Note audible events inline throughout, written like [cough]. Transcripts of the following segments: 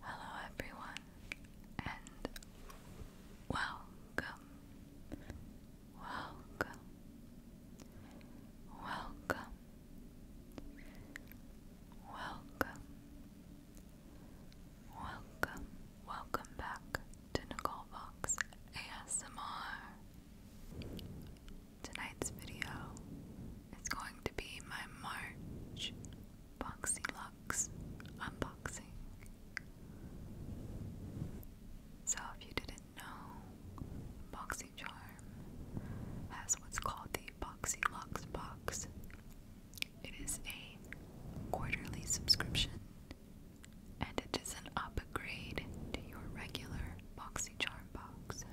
Hello, everyone, and welcome, welcome, welcome, welcome, welcome, welcome back to Nicole Fox ASMR. Tonight's video is going to be my March Boxy Lux unboxing. So, if you didn't know, Boxy Charm has what's called the Boxy Lux box. It is a quarterly subscription and it is an upgrade to your regular BoxyCharm box.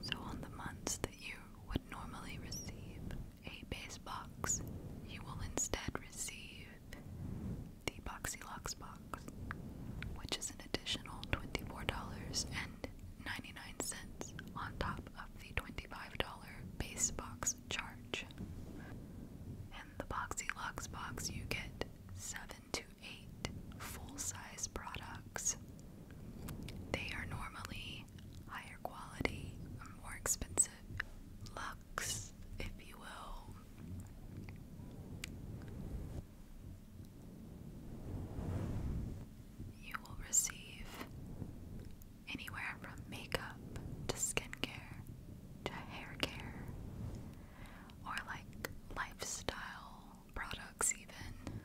So, on the months that you would normally receive a base box, you will instead receive the BoxyLux box, which is an additional $24.99 on top of the $25 base box charge. In the Boxy Lux box, you get seven to eight full-size products. They are normally higher quality, more expensive, luxe, if you will. You will receive anywhere from makeup to skincare to hair care or like lifestyle products, even.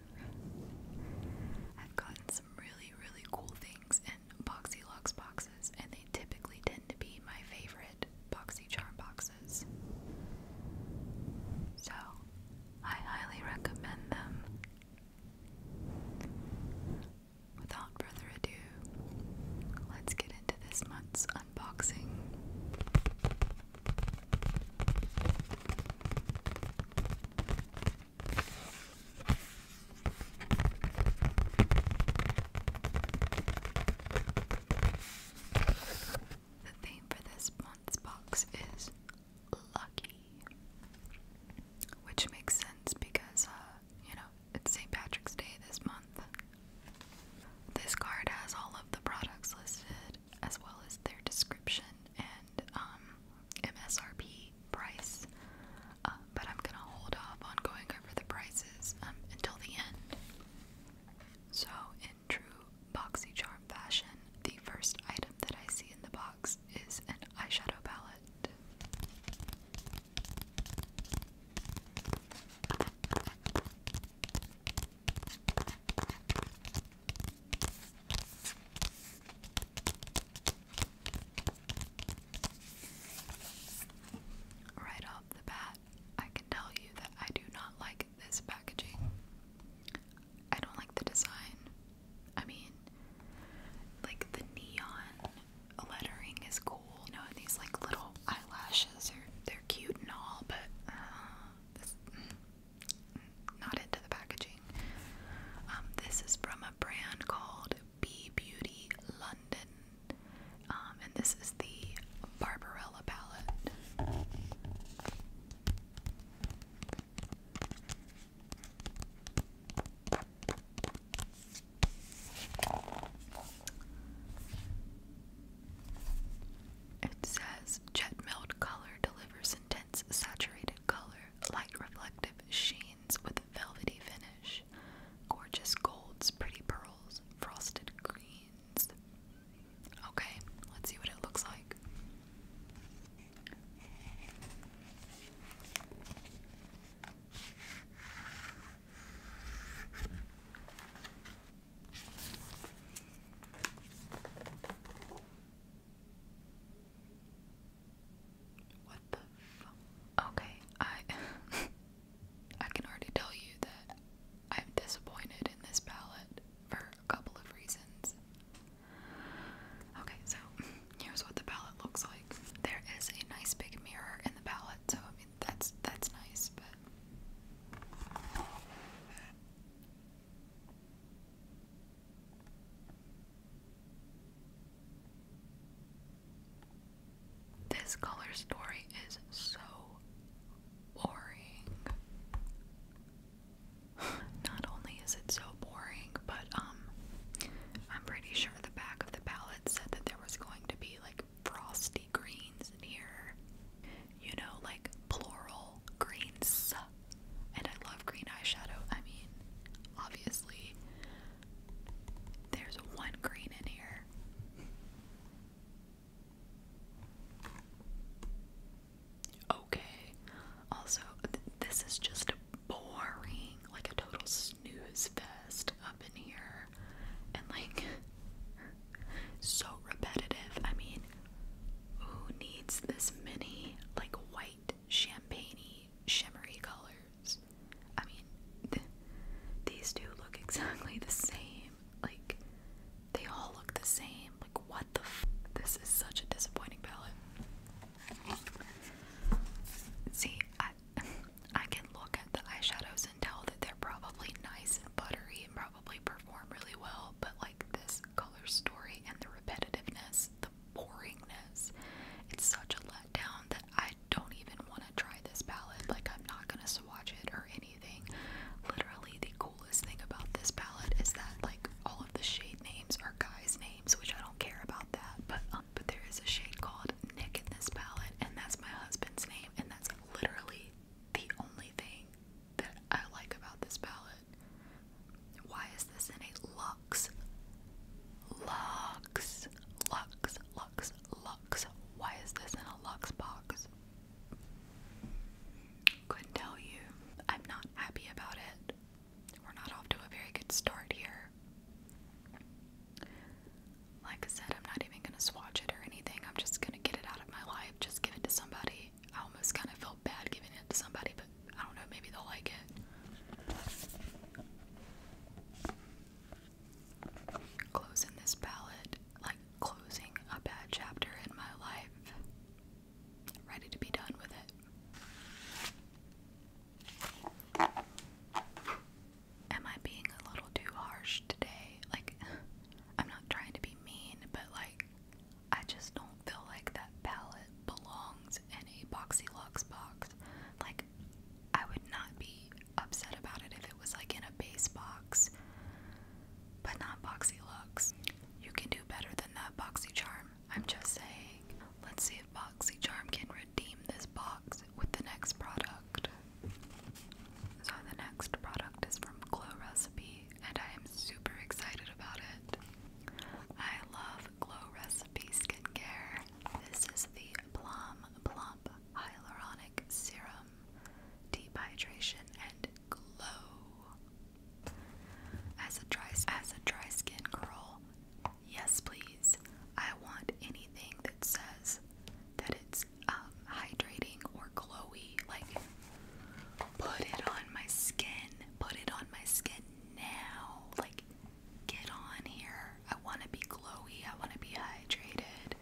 I've gotten some really, really cool things in Boxylux boxes, and they typically tend to be my favorite BoxyCharm boxes. So, I highly recommend them without further ado, let's get into this month's unboxing. The theme for this month's box is lucky, which makes sense because, uh, you know, it's St. Patrick's Day this month. This card has all of the products listed as well as their description and um, MSRP price, uh, but I'm gonna hold off on going over the prices um, until the end. So, in true BoxyCharm fashion, the first item that I see in the box is an eyeshadow palette. Right off the bat, I can tell you that I do not like this packaging. I don't like the design. I mean, like the neon lettering is cool. You know, these like little eyelashes they're cute and all, but uh, this, mm, not into the packaging. Um, this is from a brand called Bee Beauty London, um, and this is the Barbarella palette. It says jet milled color delivers intense saturated color, light reflective sheens with velvety finish, gorgeous golds, pretty pearls, frosted greens. Okay, let's see what it looks like. What the fuck? Okay, I [laughs] I can already tell you that I'm disappointed in this palette for a couple of reasons. Okay, so [laughs] here's what the palette looks like. There is a nice big mirror in the palette, so that's that's nice, but this color story is so boring. [laughs] Not only is it so boring, but um I'm pretty sure the back of the palette said that there was going to be like frosty greens in here. You know, like plural greens. And I love green eyeshadow. I mean, obviously, there's one green in here. Okay. Also, this is just boring, like a total News fest up in here and like so repetitive. I mean, who needs this many like white champagney, shimmery colors? I mean, these two look exactly the same. Like they all look the same. Like what the f this is such a disappointing palette. See, [laughs] I, can look at the eyeshadows and tell that they're probably nice and buttery and probably perform really well, but like this color story and the repetitiveness, the boringness, it's such a letdown that I don't even want to try this palette. Like, I'm not gonna swatch it or anything. Literally, the coolest thing about this palette is that, like, all of the shade names are guys' names, which I don't care about that, but um, but there is a shade called Nick in this palette, and that's my husband's name, and that's literally the only thing that I like about this palette. Why is this in a lux? luxe, luxe, luxe, luxe? Why is this in a luxe box? Couldn't tell you. I'm not happy about it. We're not off to a very good start here. Like I said, I'm not even gonna swatch it or anything. I'm just gonna get it out of my life, just give it to somebody. I almost kind of felt bad giving it to somebody, but I don't know, maybe they'll like it. Closing this palette, like closing a bad chapter in my life. Ready to be done with it am I being a little too harsh today? Like, [laughs] I'm not trying to be mean, but like, I just don't feel like that palette belongs in a Boxy Lux box. Like, I would not be upset about it if it was like in a base box, but not Boxy Lux. You can do better than that, Boxy Charm. I'm just saying. Let's see if Boxy Charm can redeem this box with the next product. So the next product is from Glow Recipe and I am super excited about it. I love Glow Recipe skincare. This is the Plum Plump Hyaluronic Serum Deep Hydration and Glow. As a dry as a dry skin girl, yes please. I want anything that says that it's um, hydrating or glowy. Like, put it on my skin. Put it on my skin now. Like, get on here. I want to be glowy. I want to be hydrated.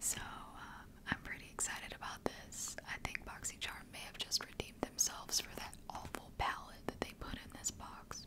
So, um, I'm pretty excited about this. I think BoxyCharm may have just redeemed themselves for that awful palette that they put in this box.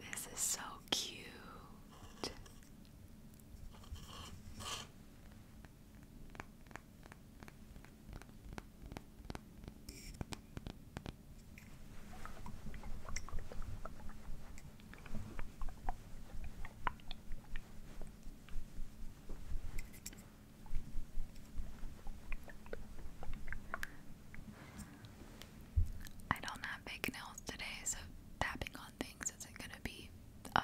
This is so cute. I don't have big nails today, so tapping on things isn't going to be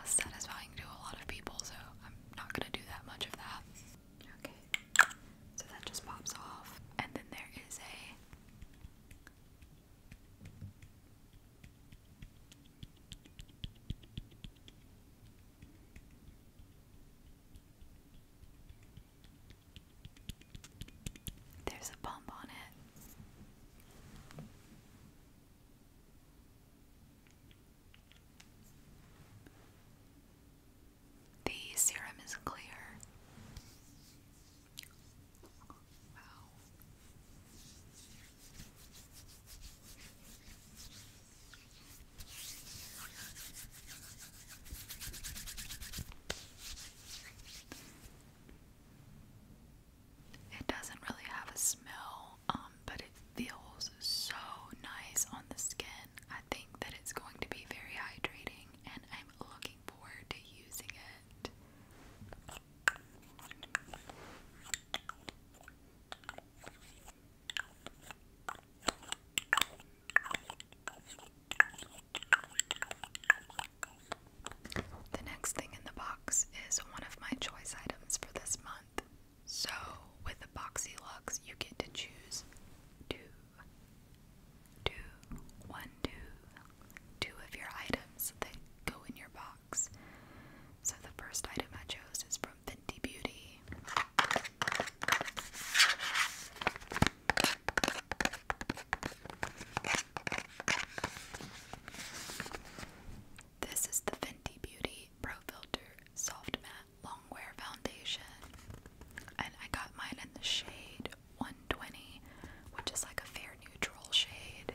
satisfying to a lot of people, so I'm not going to do that much of that. Okay, so that just pops off, and then there is a there's a bump on it. The serum is clear. Wow. It doesn't really have a smell, um, but it feels so nice on the skin. I think that it's going to be very hydrating, and I'm looking forward to using it. The next thing in the box is one of my choice items for this month. So, with the Boxy Lux, you get to choose two, two, one, two, two of your items that go in your box. So, the first item I chose is from Fenty Beauty. This is the Fenty Beauty Pro Filter Soft Matte Longwear foundation, and I got mine in the shade 120, which is like a fair neutral shade.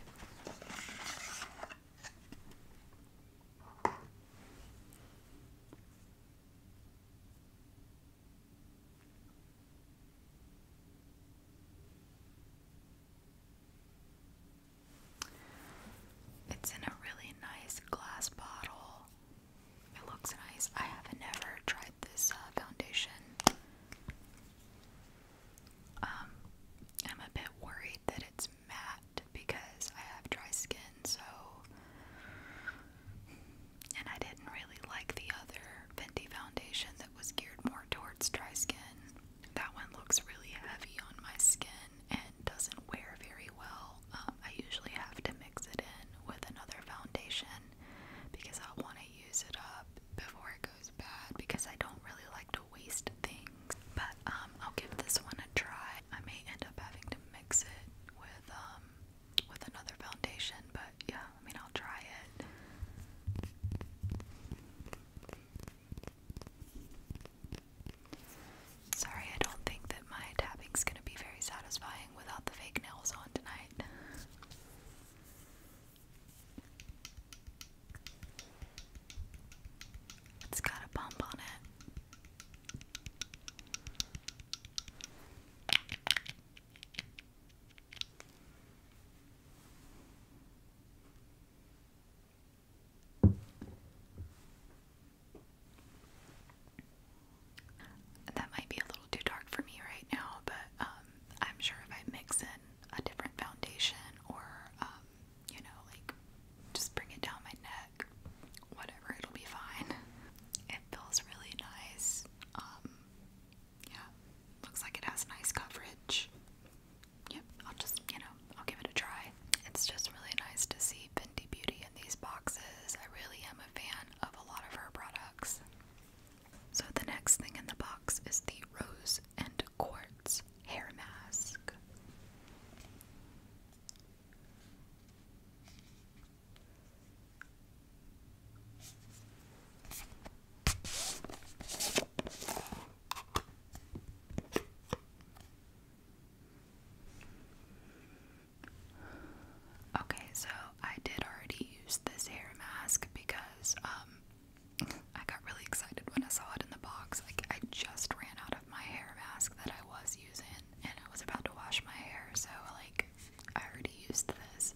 It's in a really nice glass bottle it looks nice. I have never tried this uh, foundation. Um, I'm a bit worried that it's matte because I have dry skin, so. And I didn't really like the other Fenty foundation that was geared more towards dry skin. That one looks really heavy on my skin and doesn't wear very well, um, I usually have to mix it in with another foundation because I want to use it up before it goes bad because I don't really like to waste things. But um, I'll give this one a try. I may end up having to mix it with um, with another foundation, but yeah, I mean I'll try it. Sorry, I don't think that my tapping is gonna be very satisfying without the fake nails on tonight. It's got a bump on it. That might be a little too dark for me right now, but um, I'm sure if I mix in a different foundation or, um, you know, like just bring it down my neck, whatever, it'll be fine. It feels really nice. Um, yeah, looks like it has nice coverage. Yep, I'll just, you know, I'll give it a try. It's just really nice to see Fenty Beauty in these boxes. I really am a fan of a lot of her products. So, the next thing in the box is the Rose and Quartz hair mask. Okay, so I did already use this hair mask because um, I got really excited when I saw it in the box. Like I just ran out of my hair mask that I was using and I was about to wash my hair, so like I already used this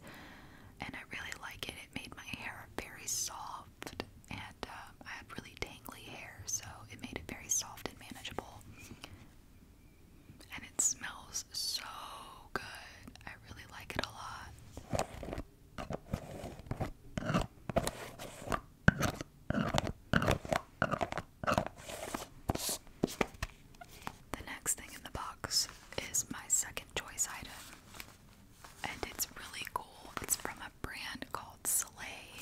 and I really like it. It made my hair very soft and um, I had really tangly hair, so it made it very soft and manageable and it smells so good. I really like it a lot. The next thing in the box is my second choice item. And it's really cool. It's from a brand called Slay,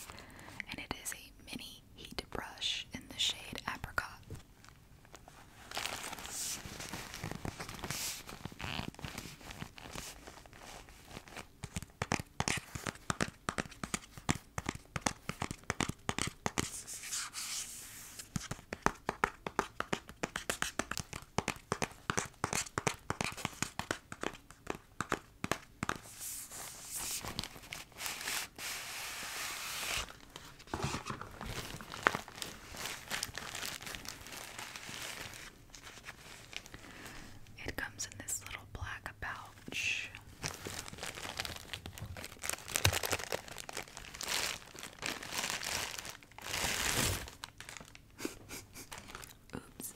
and it is a mini Heat Brush in the shade Apricot. It comes in this little black pouch. [laughs] Oops.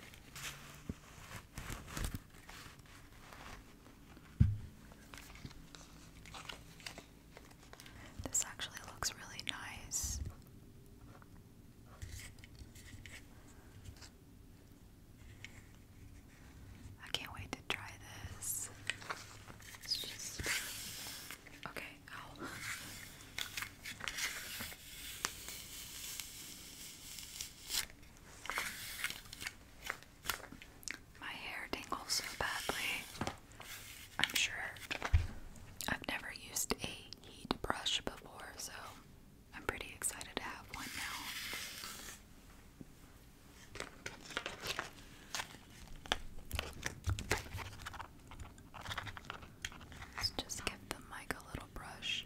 This actually looks really nice. I can't wait to try this. It's just okay. My hair dangles so badly. I'm sure I've never used a heat brush before, so I'm pretty excited to have one now. Let's just give the mic a little brush.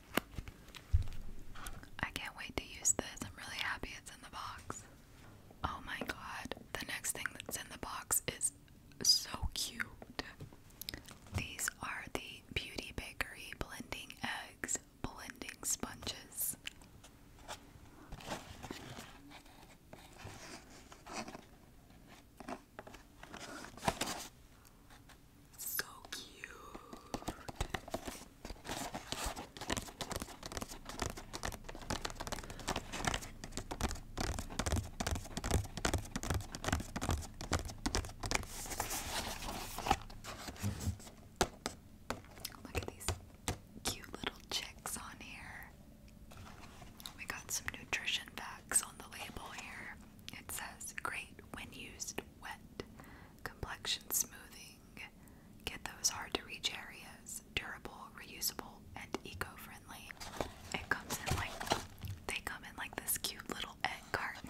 I can't wait to use this. I'm really happy it's in the box. Oh my god. The next thing that's in the box is so cute. These are the Beauty Bakery blending eggs, blending sponges. So cute. Look at these cute little chicks on here. We got some nutrition facts on the label here. It says great when used wet, complexion smoothing, get those hard to reach areas, durable, reusable, and eco friendly. It comes in like, they come in like this cute little egg carton.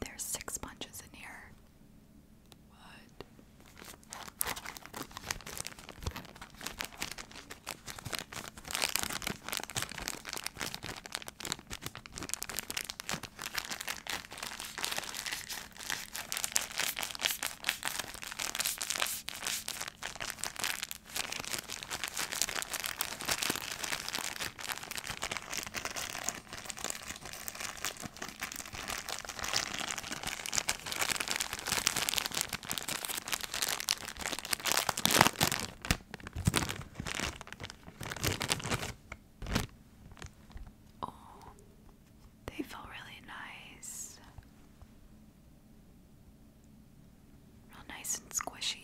There's six bunches in here. What? Oh, they feel really nice. Real nice and squishy.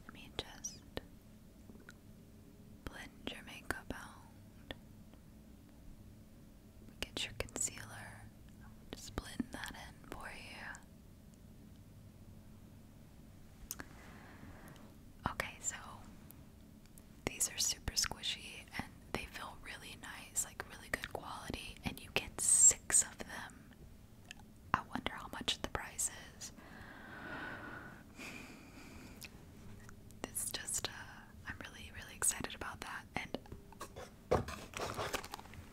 Let me just blend your makeup out. Get your concealer. Just blend that in for you. Okay, so these are super squishy and they feel really nice, like really good quality, and you get six of them. I wonder how much the price is. It's just, uh, I'm really, really excited about that, and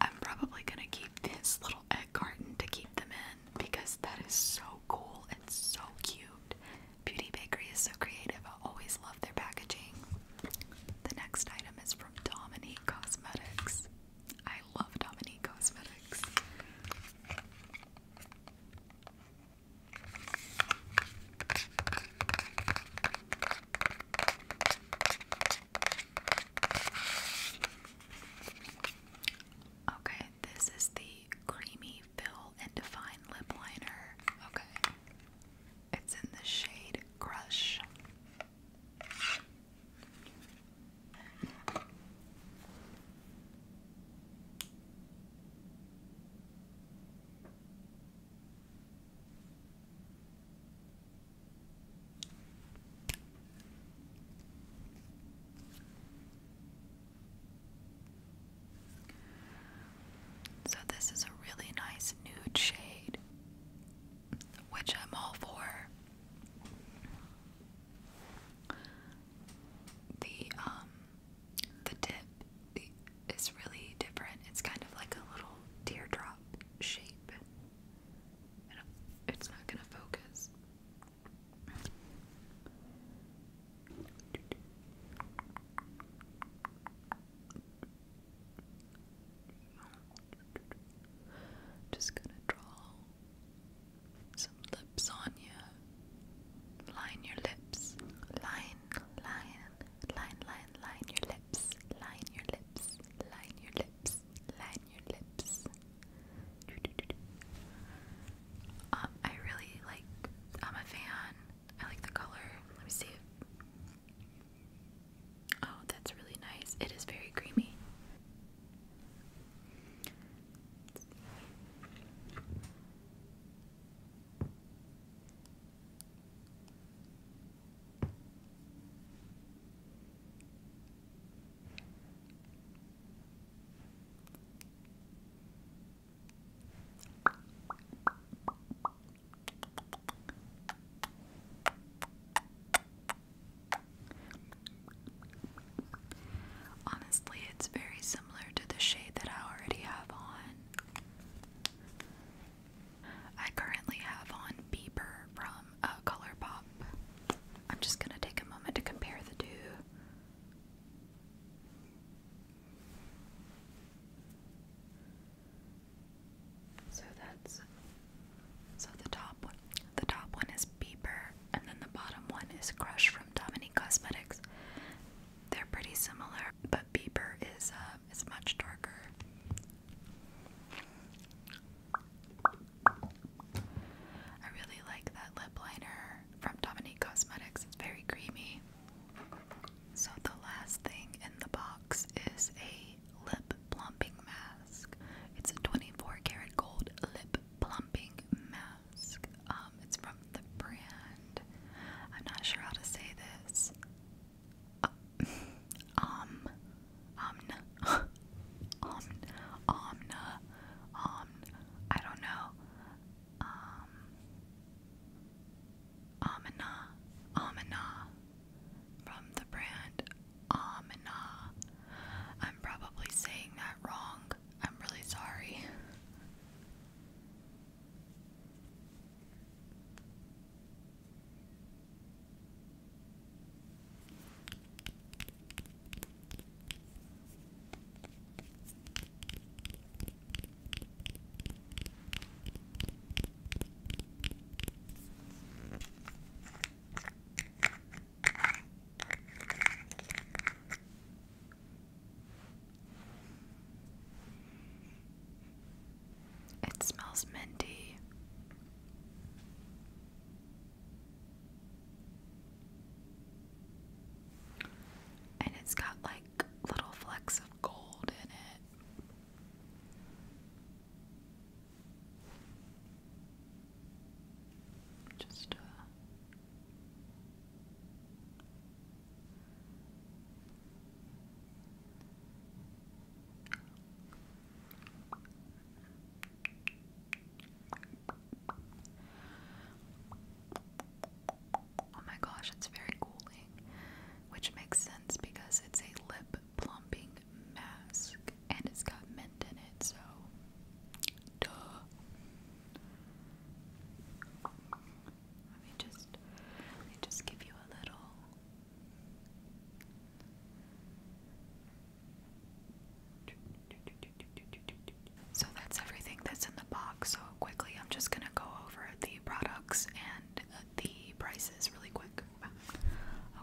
I'm probably gonna keep this little egg garden to keep them in because that is so cool and so cute. Beauty Bakery is so creative. I always love their packaging. The next item is from Dominique Cosmetics. I love Dominique Cosmetics. Okay, this is the Creamy Fill and Define Lip Liner. Okay. It's in the shade Crush. So, this is a really nice nude shade, which I'm all for. The um the tip is really different. It's kind of like a little teardrop shape. it's not going to focus. Just gonna draw some lips on you. Line your lips. Line, line, line, line, line your lips. Line your lips. Line your lips. Line your lips. Um, I really like. I'm a fan. I like the color. Let me see. Oh, that's really nice. It is very creamy. Honestly, it's very similar to the shade that I already have on. I currently have on Bieber from uh, ColourPop. I'm just gonna take a moment to compare the two. So that's so the top one the top one is Bieber and then the bottom one is Crush from Dominique Cosmetics. They're pretty similar, but Bieber is uh, is much darker. I really like that lip liner from Dominique Cosmetics. It's very creamy. So the last thing in the box is a lip plumping mask. It's a 24 karat gold lip plumping mask. Um, it's from the brand. I'm not sure how to say this. Uh, [laughs] um, um, [laughs] Omn, Omna, Omn, I don't know, um, Amina, from the brand Amina. I'm probably saying that wrong. I'm really sorry. It smells minty. And it's got like little flecks of gold in it. Just uh, Oh my gosh, it's very cooling, which makes sense because it's a lip plumping mask and it's got mint in it, so duh. Let me just let me just give you a little so that's everything that's in the box. So quickly, I'm just gonna go over the products and uh, the prices really quick.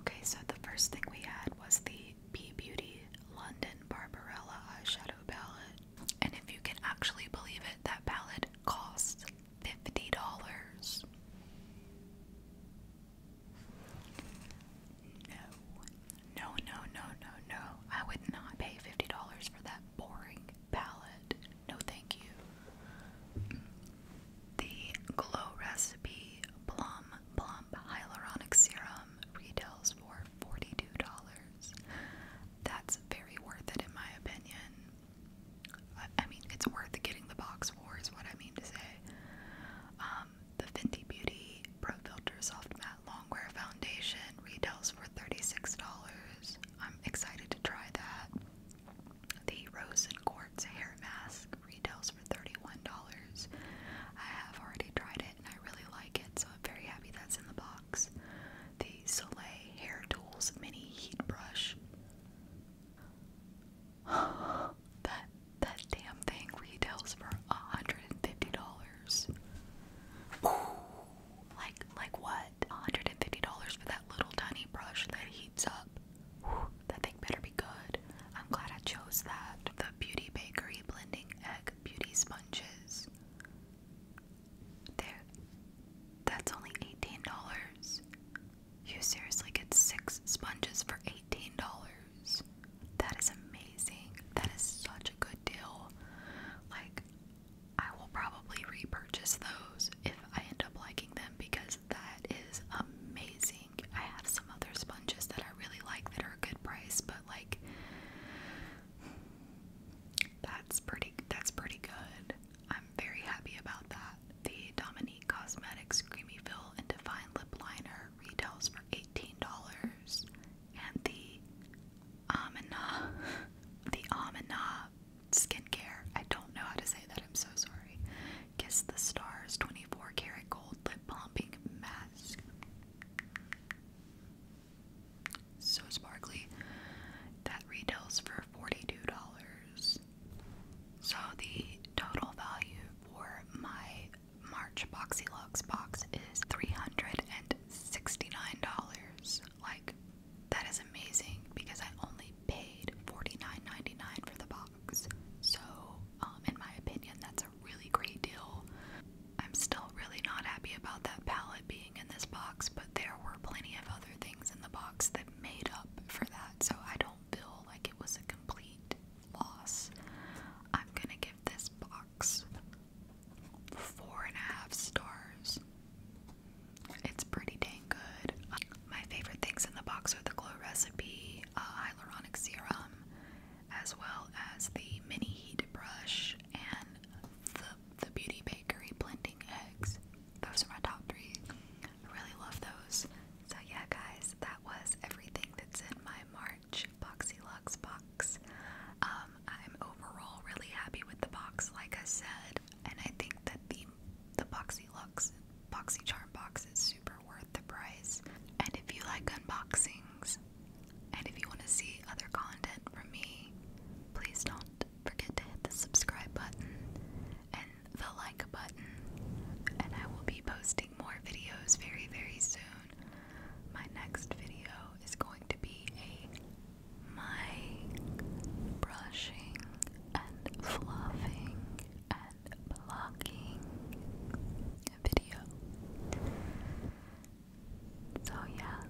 Okay, so the first thing we had was the Be Beauty London Barbarella eyeshadow palette. And if you can actually believe it, that palette costs $50. No. No, no, no, no, no. I would not pay $50 for that boring palette. No, thank you. The Glow Recipe Plum Plump Hyaluronic Serum retails for $42. That's very worth it, in my opinion. I mean, it's worth getting the box for, is what I mean to say. Um, the Fenty Beauty Pro Filter Soft Matte Longwear Foundation retails for $36. I'm excited to try that. The Rose and Quartz Hair Mask retails for $31. I have already tried it and I really like it, so I'm very happy that's in the box. The Soleil Hair Tools Mini Heat Brush. [sighs] that that damn thing retails for $150. Ooh, like, like what? $150 for that little tiny brush that heats up. Ooh, that thing better be good. I'm glad I chose that. The Beauty Bakery Blending Egg Beauty Sponges. There. That's only $18. You seriously get six sponges for $18. That is amazing. That is such a good deal. Like, I will probably repurchase those if I end up liking them because that is amazing. I have some other sponges that I really like that are a good price, but like that's pretty that's pretty good. I'm very happy about that. The Dominique Cosmetics Creamy Fill and Divine Lip Liner retails for $18 and the Amina, [laughs] the Amina skincare. I don't know how to say that. I'm so sorry. Kiss the Stars 24 karat gold lip plumping mask. So sparkly. That retails for $42. So the total value for my March Boxy Lux box is $369. Like, that is amazing because I only paid $49.99 for the box. So, um, in my opinion, that's a really great deal. I'm still really not happy about that palette being in this box, but there were plenty of other things in the box that made up for that, so I don't feel like it was a complete loss. I'm gonna give this box. Four and a half stars. It's pretty dang good. My favorite things in the box are the glow recipe, uh, hyaluronic serum, as well as the mini heat brush and the the Beauty Bakery blending eggs. Those are my top three. I really love those. So yeah, guys, that was everything that's in my March. Boxy Lux box. Um, I'm overall really happy with the box, like I said, and I think that the the Boxy Lux Boxy Charm box is super worth the price. And if you like unboxings, and if you want to see other content from me, please don't forget to hit the subscribe button and the like button. And I will be posting more videos very, very soon. My next video is going to be a mic brushing and fluffing and blocking video. So, yeah,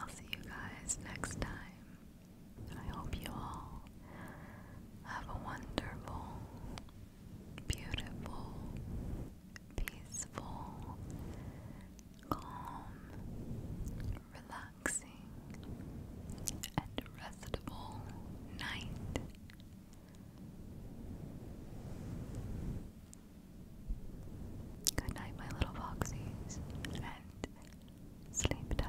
I'll see you guys next time. I hope you all have a wonderful beautiful, peaceful, calm, relaxing, and restful night. Good night, my little foxies, and sleep tight.